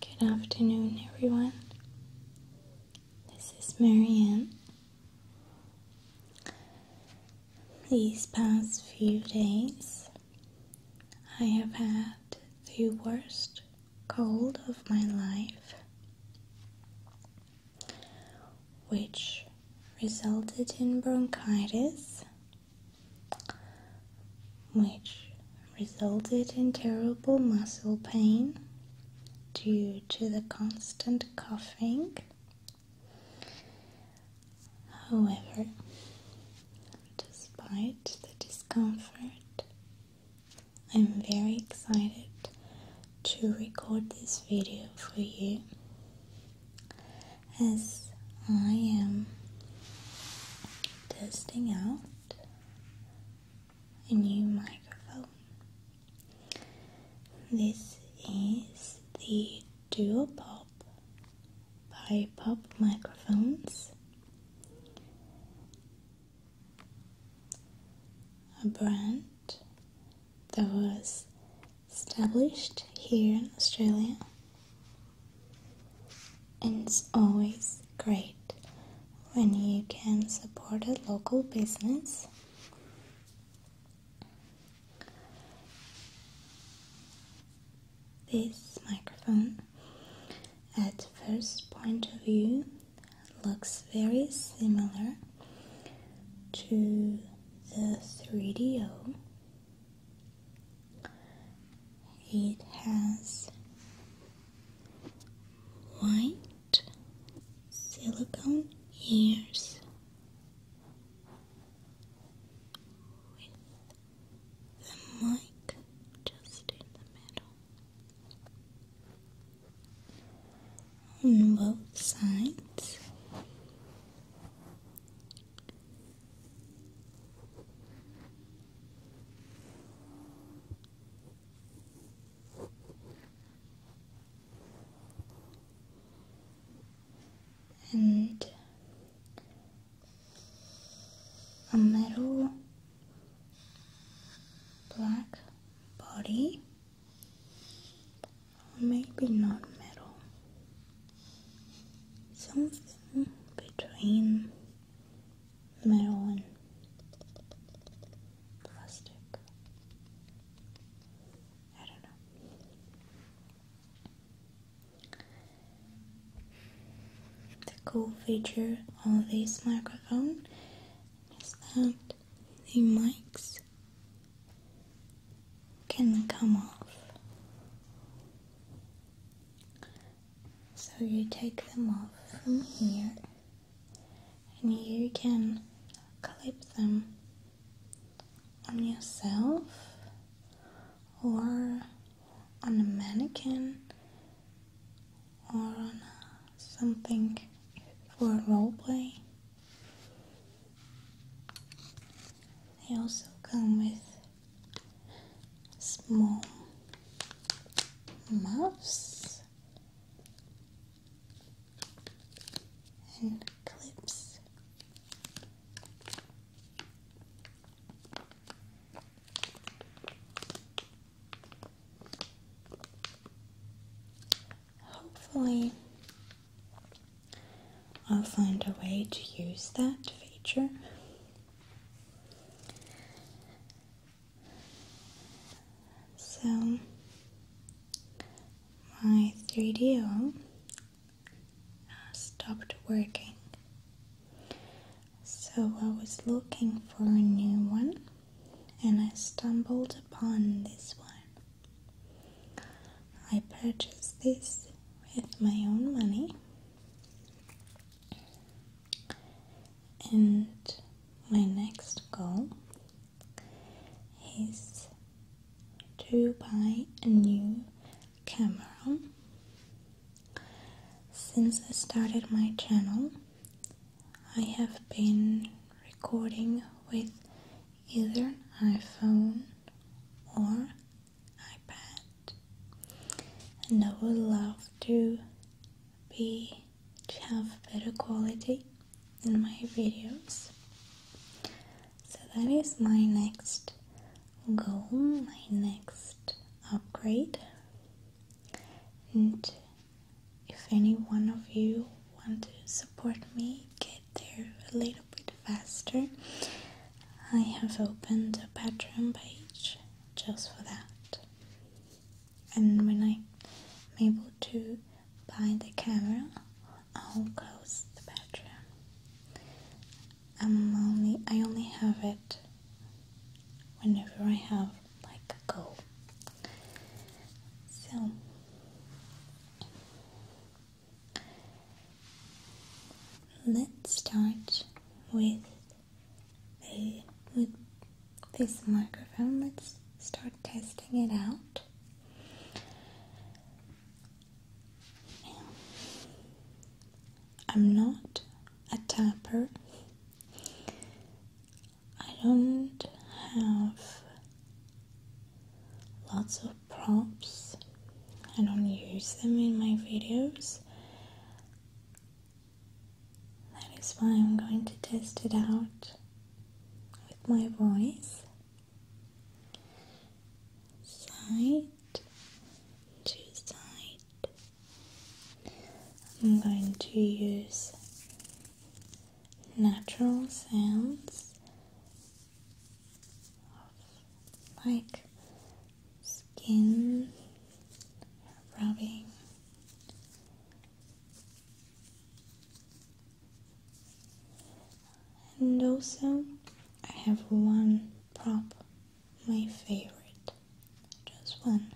Good afternoon, everyone. This is Marianne. These past few days, I have had the worst cold of my life, which resulted in bronchitis which resulted in terrible muscle pain due to the constant coughing. However, despite the discomfort, I'm very excited to record this video for you as I am testing out a new microphone. This is the Duo Pop by Pop Microphones, a brand that was established here in Australia it's always great when you can support a local business. This microphone, at first point of view, looks very similar to the 3DO it has white silicone ears with the mic just in the middle. On both sides, and a metal black body, or maybe not metal something between metal and plastic. I don't know. The cool feature of this microphone is that the mics can come off. So you take them off from here and you can clip them on yourself or on a mannequin or on something for role play. They also come with small muffs and clips. Hopefully, I'll find a way to use that feature so my 3DO stopped working. So I was looking for a new one and I stumbled upon this one. I purchased this with my own money and my next goal is to buy a new camera. Since I started my channel, I have been recording with either an iPhone or I And I would love to be to have better quality in my videos. So that is my next goal, my next upgrade. And if any one of you want to support me, get there a little bit faster, I have opened a Patreon page just for that. And when I'm able to buy the camera, I'll close the Patreon. I'm only I only have it whenever I have like a goal. So Let's start with this microphone. Let's start testing it out. I'm not a tapper. I don't have lots of props. I don't use them in my videos. That is why I'm going to test it out with my voice. Side to side. I'm going to use natural sounds of like skin rubbing. And also, I have one prop, my favorite, just one,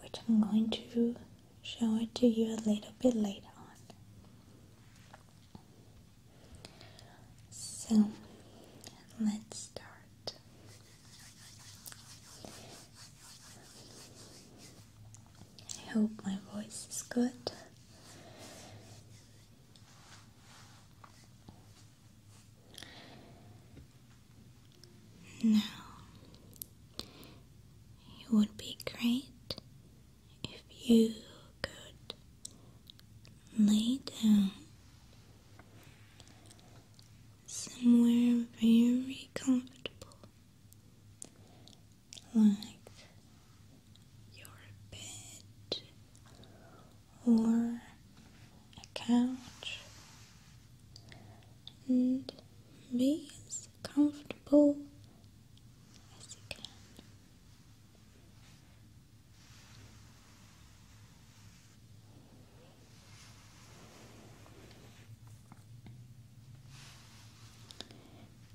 which I'm going to show it to you a little bit later on. So let's start. I hope my voice is good. Now, it would be great if you good. Lay down somewhere very comfortable, like your bed or a couch, and be as comfortable as you can.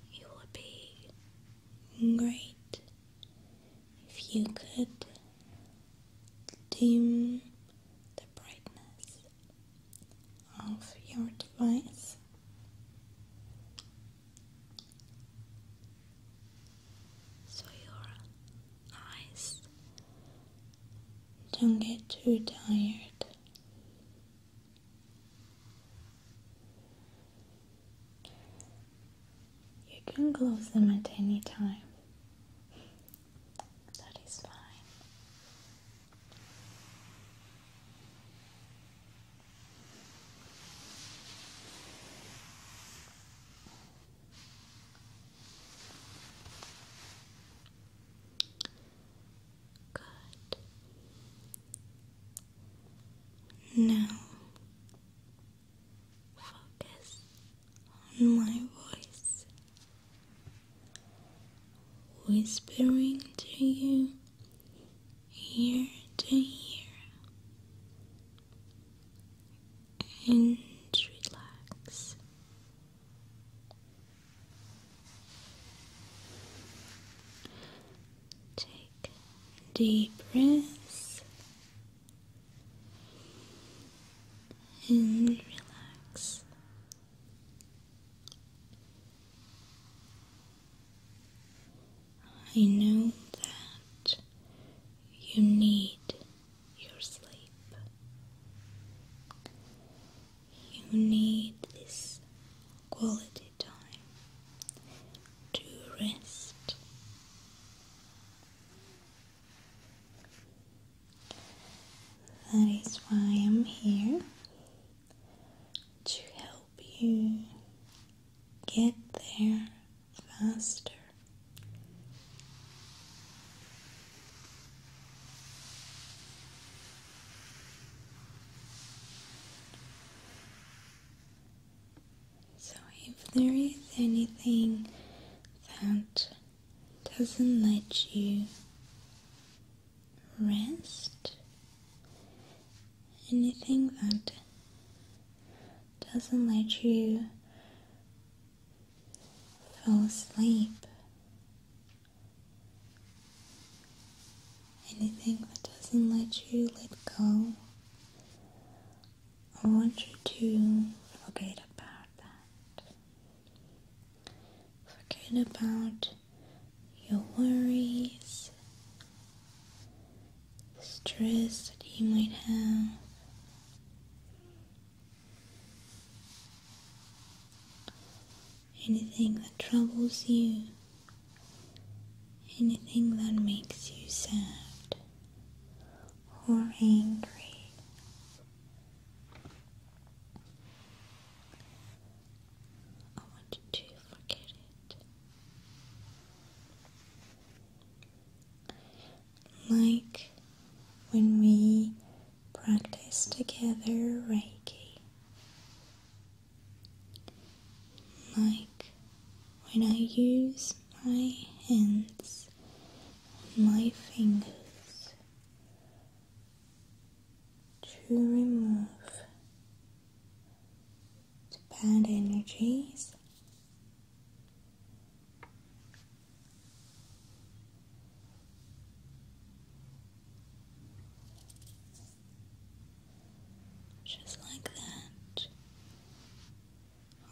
It would be great if you could dim the brightness of your device so your eyes don't get too tired. You can close them at any time. That is fine. Good. Now focus on my voice, whispering to you ear to ear and relax. Take deep breaths and relax. I know that you need your sleep. You need this quality time to rest. That is why I'm here to help you get there faster. So, if there is anything that doesn't let you rest, anything that doesn't let you fall asleep. Anything that doesn't let you let go, I want you to forget about that. Forget about your worries, stress that you might have. Anything that troubles you, anything that makes you sad or angry. I want you to forget it like when we practice together Reiki, like when I use my hands my fingers to remove the bad energies. Just like that.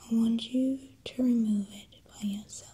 I want you to remove it by yourself.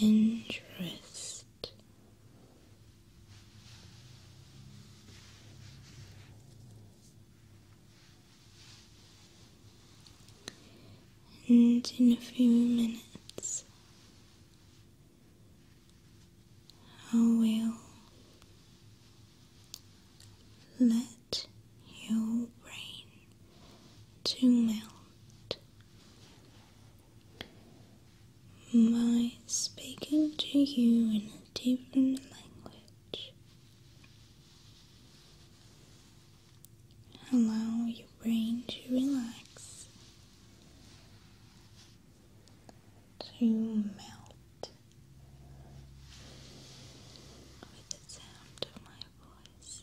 interest and in a few minutes I will let your brain to melt by speaking to you in a different language. Allow your brain to relax, to melt with the sound of my voice.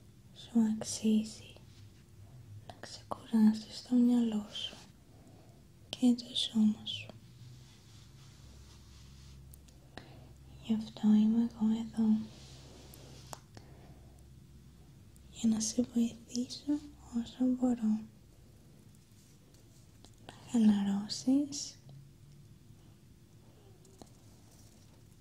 σου αξίζει να ξεκουράσεις το μυαλό σου και το σώμα σου. Γι' αυτό είμαι εγώ εδώ. Για να σε βοηθήσω όσο μπορώ. Να χαλαρώσεις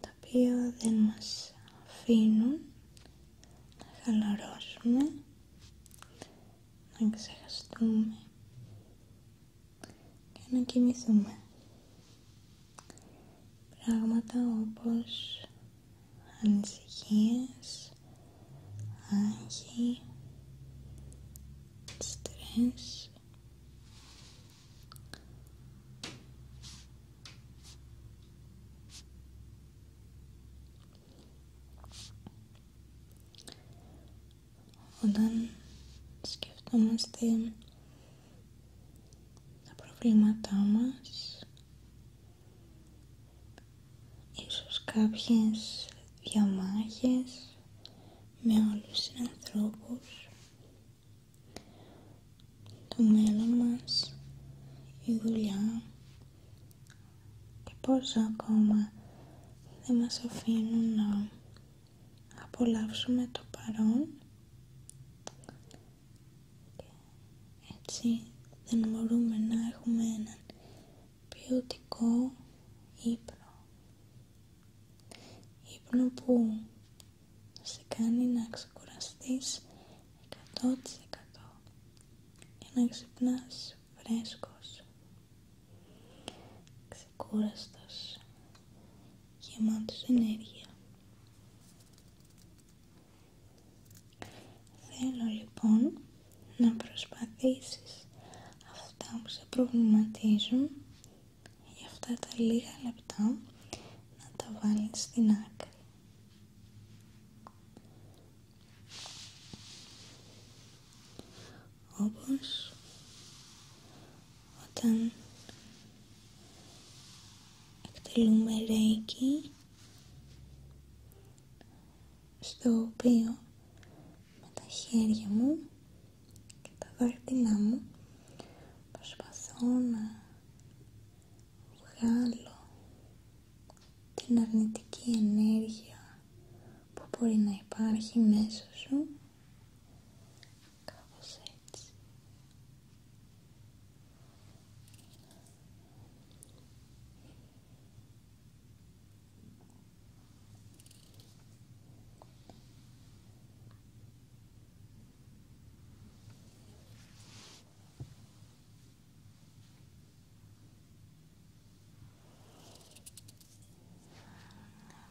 τα οποία δεν μας αφήνουν να χαλαρώσουμε, να ξεχαστούμε και να κοιμηθούμε. Πράγματα όπως ανησυχίες, άγχη, στρες όταν σκεφτόμαστε τα προβλήματά μας ίσως κάποιες διαμάχες με όλους τους ανθρώπους το μέλλον μας, η δουλειά και πως ακόμα δεν μας αφήνουν να απολαύσουμε το παρόν και έτσι δεν μπορούμε να έχουμε έναν ποιοτικό ύπνο ύπνο που σε κάνει να ξεκουραστείς 100% και να ξυπνάς φρέσκος, ξεκούραστος, γεμάτος ενέργεια. Θέλω λοιπόν να προσπαθήσεις αυτά που σε προβληματίζουν για αυτά τα λίγα λεπτά να τα βάλεις στην άκρη. Όπως όταν εκτελούμε ρέικι στο οποίο με τα χέρια μου και τα βαρτινά μου προσπαθώ να βγάλω την αρνητική ενέργεια που μπορεί να υπάρχει μέσω σου έτσι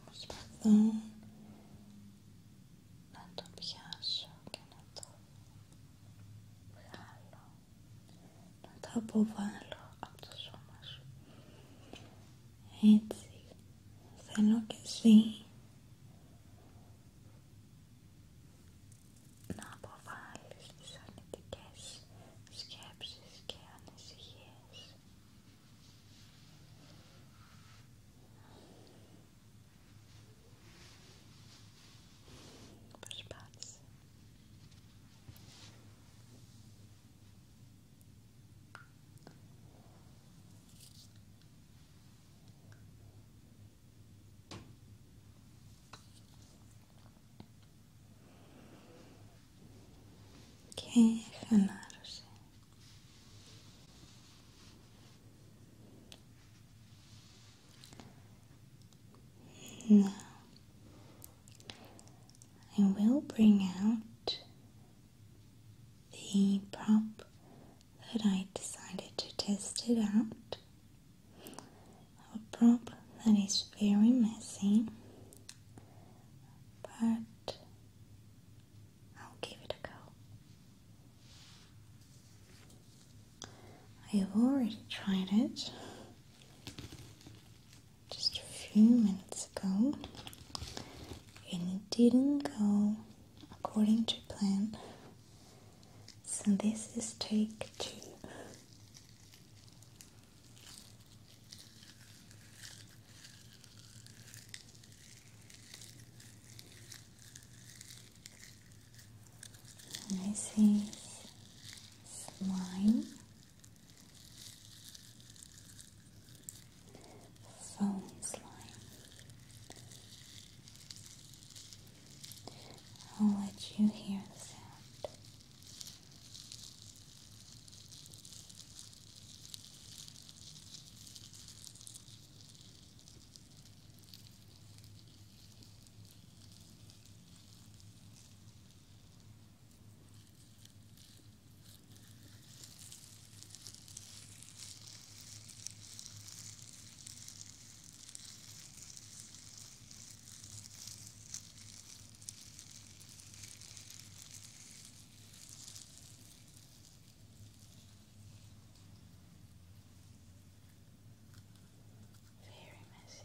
Προσπαθώ να το πιάσω και να το βγάλω, να το αποβάλω από το σώμα σου. Έτσι, θέλω και εσύ να αποβάλεις τις αρνητικές σκέψεις και ανησυχίες. Προσπάθησε. και χαλάρωσε. Now, I will bring out the prop that I decided to test it out. A prop that is very messy, but I'll give it a go. I have already tried it just a few minutes ago and it didn't go according to plan. So this is take two. this is slime, foam slime, I'll let you hear the sound. Very messy.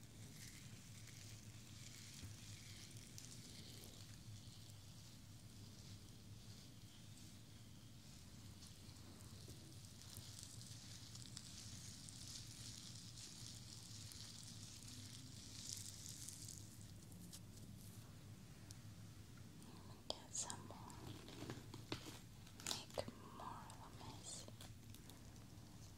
Get some more, make more of a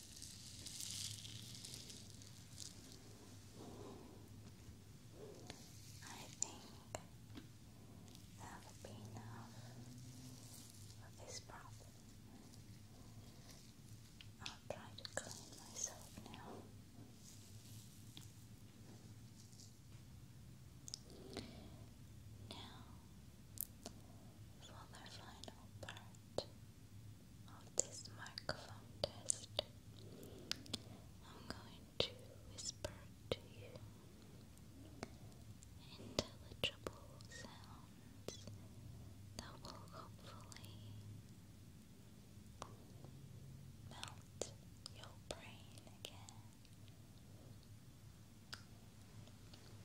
I think that would be enough for this problem. I'll try to clean myself now. Now, for the final part of this microphone test, I'm going to whisper to you intelligible sounds that will hopefully melt your brain again.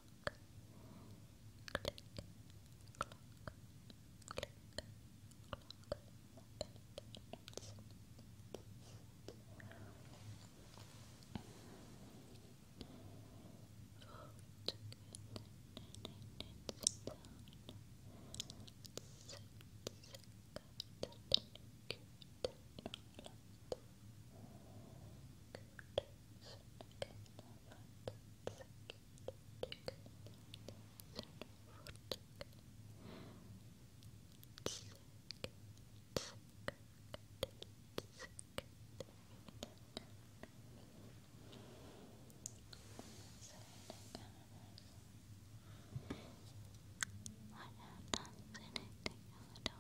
clock, click, clock, click, clock. Good. I don't know anything, I don't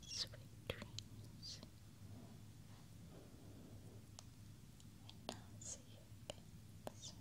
Sweet dreams. And I'll see you again soon.